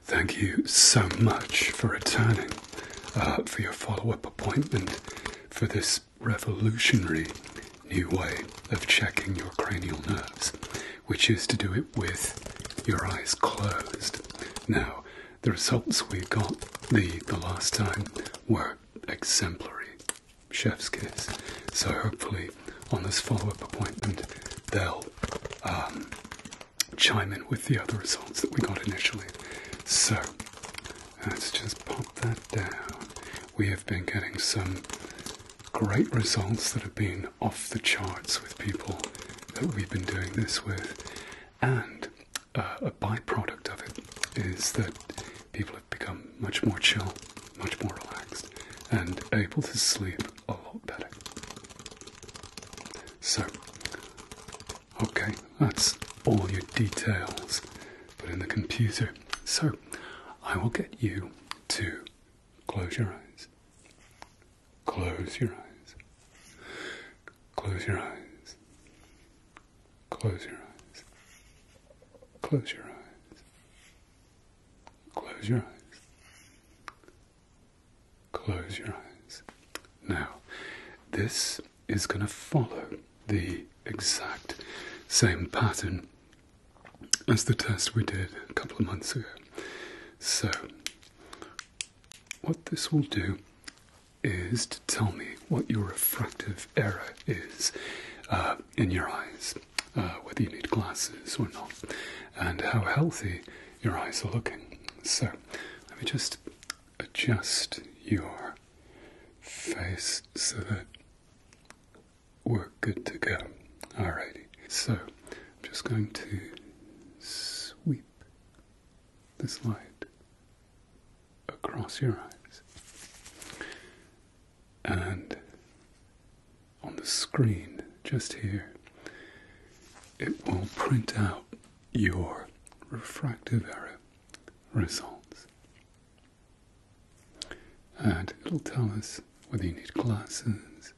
Thank you so much for returning, uh, for your follow up appointment for this revolutionary new way of checking your cranial nerves, which is to do it with your eyes closed. Now, the results we got the, last time were exemplary. Chef's kiss. So hopefully, on this follow-up appointment, they'll um, chime in with the other results that we got initially. So let's just pop that down. We have been getting some great results that have been off the charts with people that we've been doing this with, and uh, a byproduct of it is that people have become much more chill, much more relaxed, and able to sleep a lot better. So, okay, that's all your details put in the computer. So, I will get you to close your eyes. Close your eyes. Close your eyes. Close your eyes. Close your eyes. Close your eyes. Close your eyes. Now, this is going to follow the exact same pattern as the test we did a couple of months ago. So, what this will do is to tell me what your refractive error is uh, in your eyes. Uh, whether you need glasses or not, and how healthy your eyes are looking. So, let me just adjust your face so that we're good to go. Alrighty, so I'm just going to sweep this light across your eyes and on the screen just here, it will print out your refractive error results. And it'll tell us whether you need glasses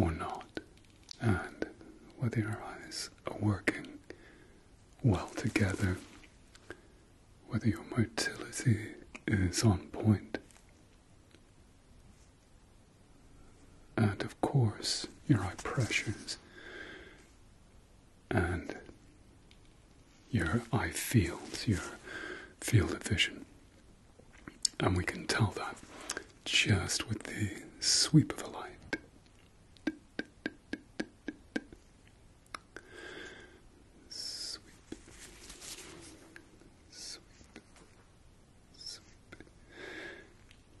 or not, and whether your eyes are working well together, whether your motility is on point, and of course, your eye pressures and your eye fields, your field of vision. And we can tell that just with the sweep of a light sweep, sweep, sweep,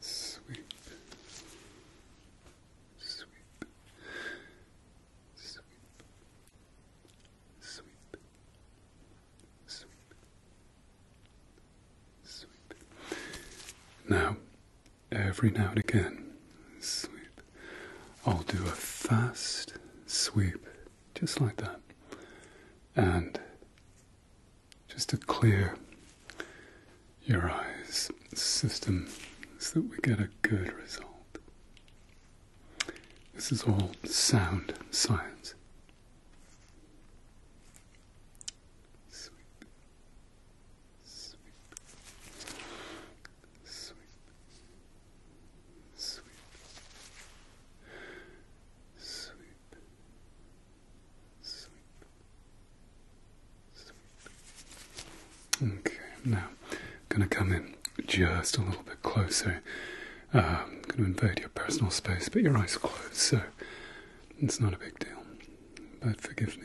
sweep, sweep, sweep, sweep, Now, every now and again, sweep. I'll do a fast sweep just like that. And just to clear your eyes system so that we get a good result. This is all sound science sweep, sweep, sweep, sweep, sweep. Okay, now I'm going to come in just a little bit closer. I'm um, going to invade your personal space, but your eyes are closed, so it's not a big deal. But forgive me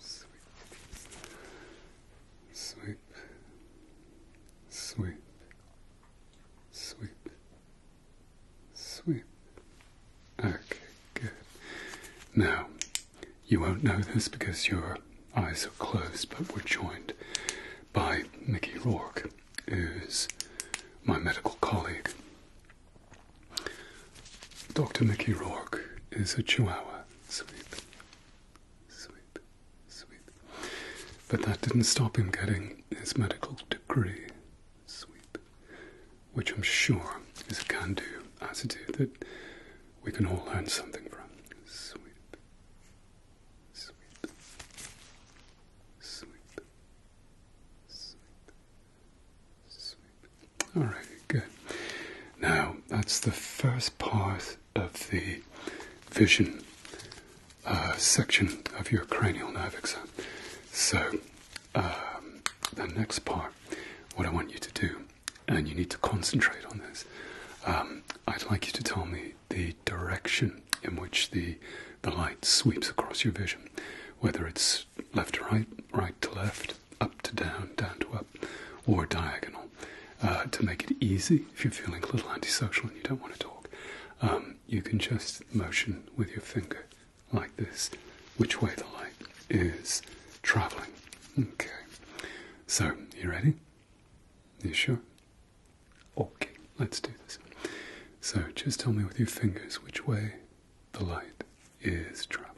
Sweep. Sweep. Sweep. Sweep. Sweep. Okay, good. Now, you won't know this because your eyes are closed, but we're joined by Mickey Rourke, who's my medical colleague. Dr. Mickey Rourke is a chihuahua. Sweet, sweet, sweet. But that didn't stop him getting his medical degree. Sweet. Which I'm sure is a can do attitude that we can all learn something from. Sweet. Sweet. Sweet. Sweet. Sweet. All right, good. Now, that's the first part of the vision uh, section of your cranial nerve exam. So, um, the next part, what I want you to do, and you need to concentrate on this, um, I'd like you to tell me the direction in which the, the light sweeps across your vision whether it's left to right, right to left, up to down, down to up, or diagonal, uh, to make it easy if you're feeling a little antisocial and you don't want to talk. Um, you can just motion with your finger like this, which way the light is traveling. Okay. So, you ready? You sure? Okay, let's do this. So, just tell me with your fingers which way the light is traveling.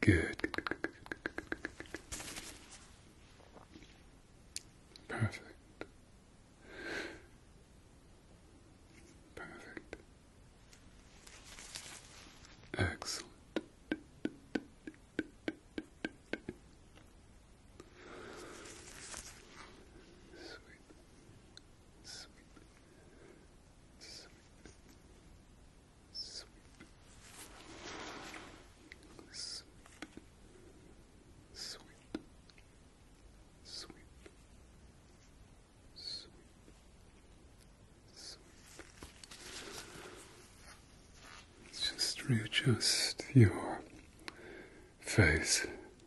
Good. Perfect. Perfect. Excellent. Sweet. Just readjust your face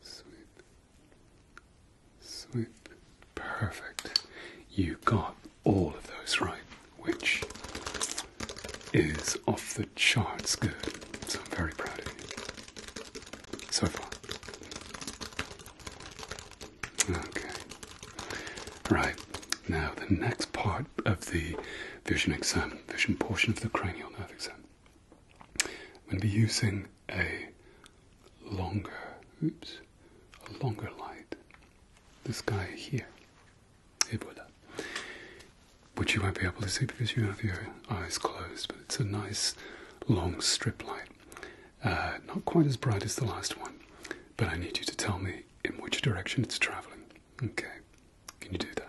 Sweep. Sweep. Perfect. You got all of those right, which is off the charts good. So I'm very proud of you. So far. Okay. Right. Now, the next part of the vision exam, vision portion of the cranial nerve exam, I'm going to be using a longer, oops, a longer light. This guy here. Et voilà. Which you won't be able to see because you have your eyes closed, but it's a nice long strip light. Uh, not quite as bright as the last one, but I need you to tell me in which direction it's travelling. Okay, can you do that?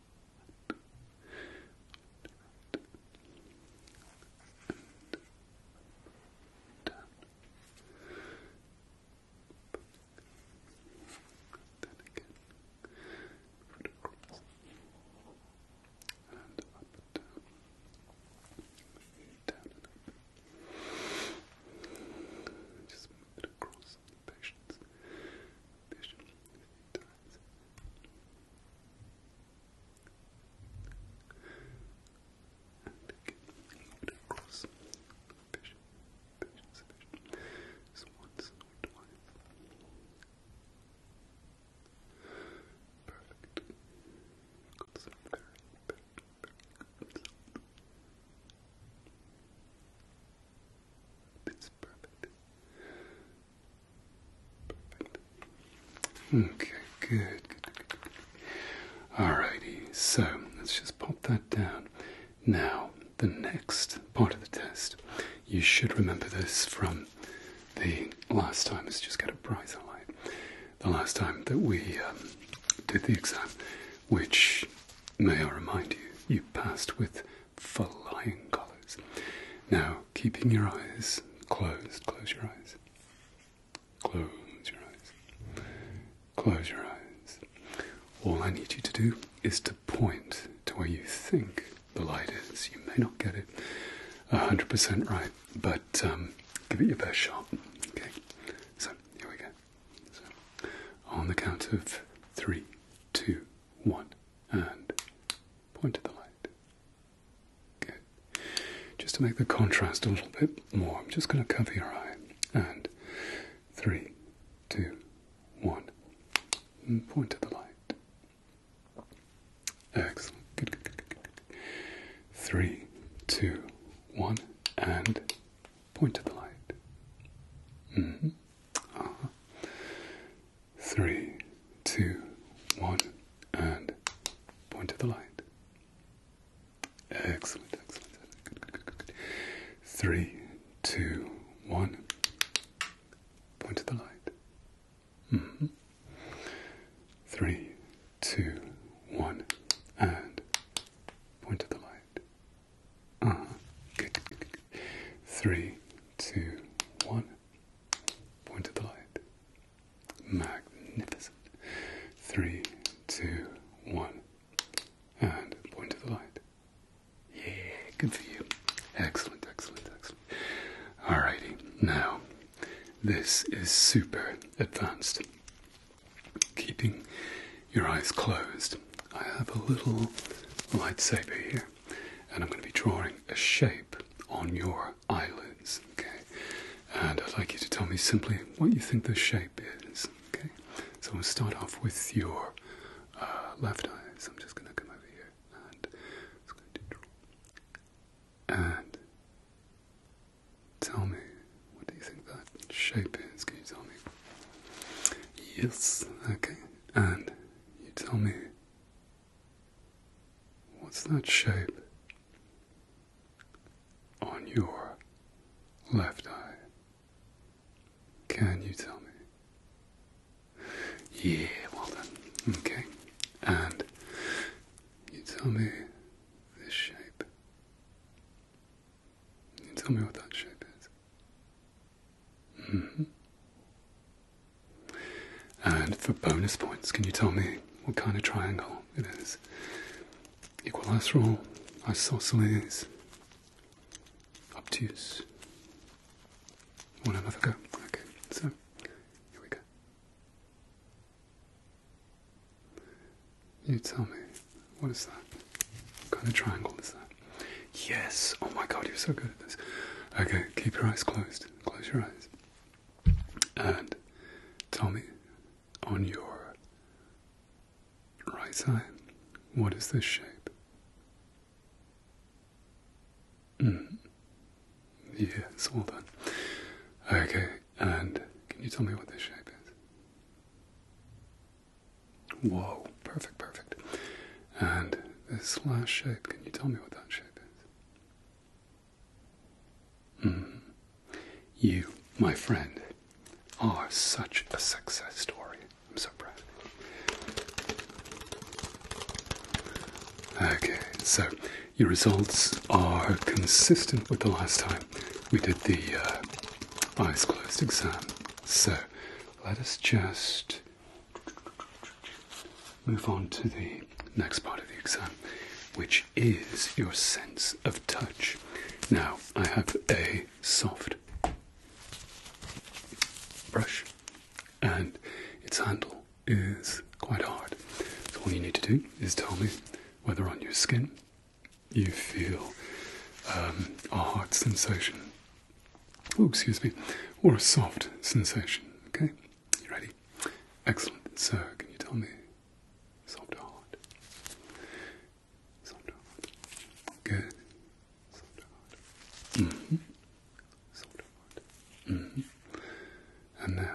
Then again, put it across and up and down, down and up. Just move it across patience, patience, patience, times. And again, moved across. Vision, vision, vision. Just once or twice. Perfect. You've got some very, very, very good sound. Okay, good, Alrighty, so let's just pop that down. Now, the next part of the test, you should remember this from the last time, it's just got a brighter light. The last time that we um, did the exam, which May I remind you, you passed with flying colours. Now, keeping your eyes closed, close your eyes. Close your eyes. Close your eyes. All I need you to do is to point to where you think the light is. You may not get it 100% right, but um, give it your best shot. Okay, so here we go on the count of three, two, one, and point to the light. Good. Just to make the contrast a little bit more, I'm just going to cover your eye. And three, two, one, and point to the light. Excellent. Good, good, good, good, good. Three, two, one, and Point to the light. Mm-hmm. Uh-huh. Three, two, one, and point to the light. Excellent, excellent. Good, good, good, good. Three, two, one, point to the light. Mm-hmm. Three, two, one, and point to the light. Uh Three, two, one. Point at the light. Magnificent. Three, two, one. And point at the light. Yeah, good for you. Excellent, excellent, excellent. All righty. now this is super advanced keeping your eyes closed. I have a little lightsaber here, and I'm going to be drawing a shape on your eyelids. Okay, and I'd like you to tell me simply what you think the shape is. Okay, so we'll start off with your uh, left eye. So I'm just going to come over here and i going to draw and Tell me, what do you think that shape is? Can you tell me? Yes, okay. And you tell me, what's that shape on your left eye? Can you tell me? Yeah, well done. Okay. And you tell me this shape tell me what that shape is. Mm-hmm. And for bonus points, can you tell me what kind of triangle it is? Equilateral, isosceles, obtuse. Want another go? Okay, so here we go. You tell me, what is that? kind of triangle is that? Yes! Oh my god, you're so good at this. Okay, keep your eyes closed. Close your eyes. And tell me, on your right side what is this shape? Mm. Yes, all done. Okay, and can you tell me what this shape is? Whoa, perfect, perfect. And this last shape, can you tell me what that shape is? Mm-hmm. You, my friend, are such a success story. I'm so proud. Okay, so your results are consistent with the last time we did the uh, eyes closed exam. So let us just move on to the next part of the exam, which is your sense of touch. Now, I have a soft brush and its handle is quite hard. So all you need to do is tell me whether on your skin you feel um, a hard sensation, oh, excuse me, or a soft sensation. Okay, you ready? Excellent. So, can you tell me soft or hard? Soft or hard? Good. Soft or hard? Mm-hmm. Soft or hard? Mm-hmm. And now,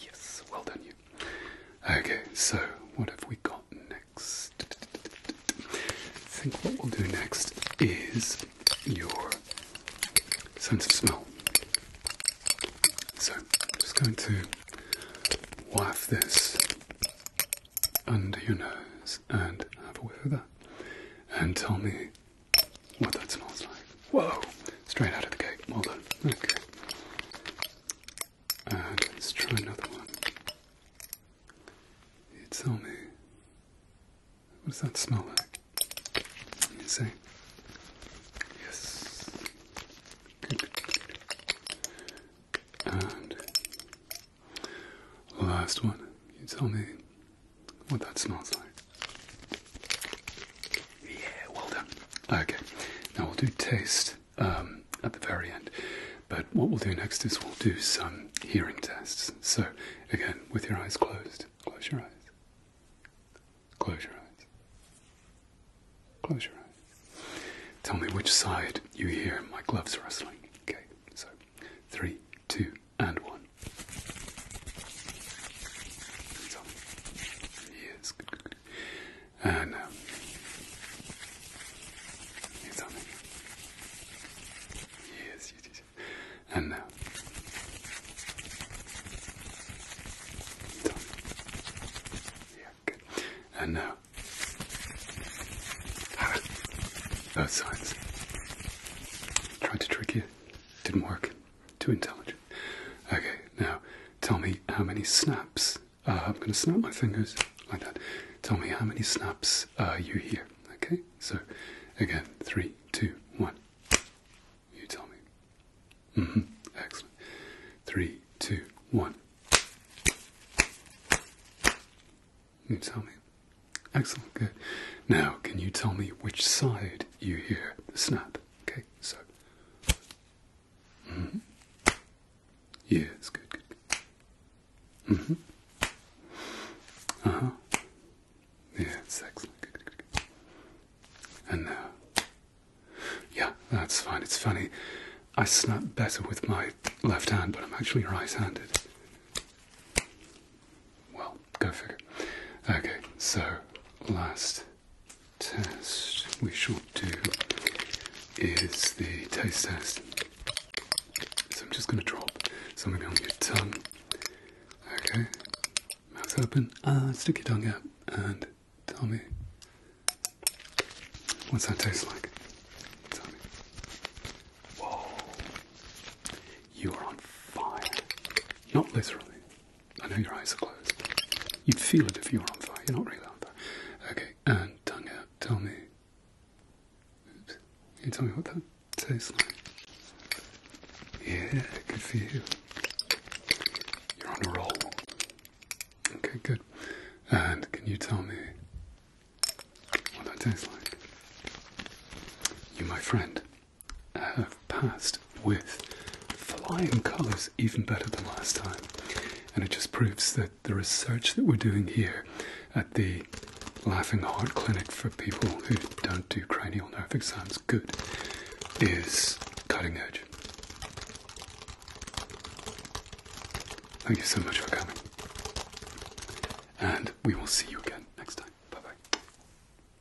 Yes, well done you. Okay, so what have we got next? I think what we'll do next is your sense of smell. So I'm just going to waft this under your nose and have a whiff of that. And tell me what that smells like. Whoa! Straight out of the gate. Well done. Okay. And uh, let's try another one. You tell me, what does that smell like? You say, yes. Good, And last one, you tell me what that smells like. Yeah, well done. Okay, now we'll do taste um, at the very end, but what we'll do next is we'll do some hearing tests. So, again, with your eyes closed, close your eyes, close your eyes, close your eyes. Tell me which side you hear my gloves rustling. Okay, so three, two, and one. yes, good, good. And now, here's something. Yes, yes, yes. And uh, now. Yeah, good. And now. Ah, those signs. Tried to trick you. Didn't work. Too intelligent. Okay, now tell me how many snaps. Uh, I'm going to snap my fingers like that. Tell me how many snaps uh, you hear. Okay, so again, three, two, one. You tell me. Mm -hmm. Excellent. Three, two, one. You tell me. Excellent, good. Now, can you tell me which side you hear the snap? Okay, so Mm-hmm. Yes, good, -hmm. Uh huh. Yeah, it's excellent. Good, good, And now, uh, yeah, that's fine. It's funny. I snap better with my left hand, but I'm actually right-handed. Well, go figure. Okay, so last test we should do is the taste test. So I'm just going to drop something on your tongue. Okay, mouth open, and uh, stick your tongue out, and tell me what's that taste like. Tell me. Whoa, you are on fire. Not literally, I know your eyes are closed. You'd feel it if you were on fire. You're not really on fire. Okay, and tongue Tell me. you tell me what that tastes like? Yeah, good for you. You're on a roll. Okay, good. And can you tell me what that tastes like? You, my friend, have passed with flying colours, even better than last time. And it just proves that the research that we're doing here at the Laughing Heart Clinic for people who don't do cranial nerve exams good is cutting edge. Thank you so much for coming. And we will see you again next time. Bye bye.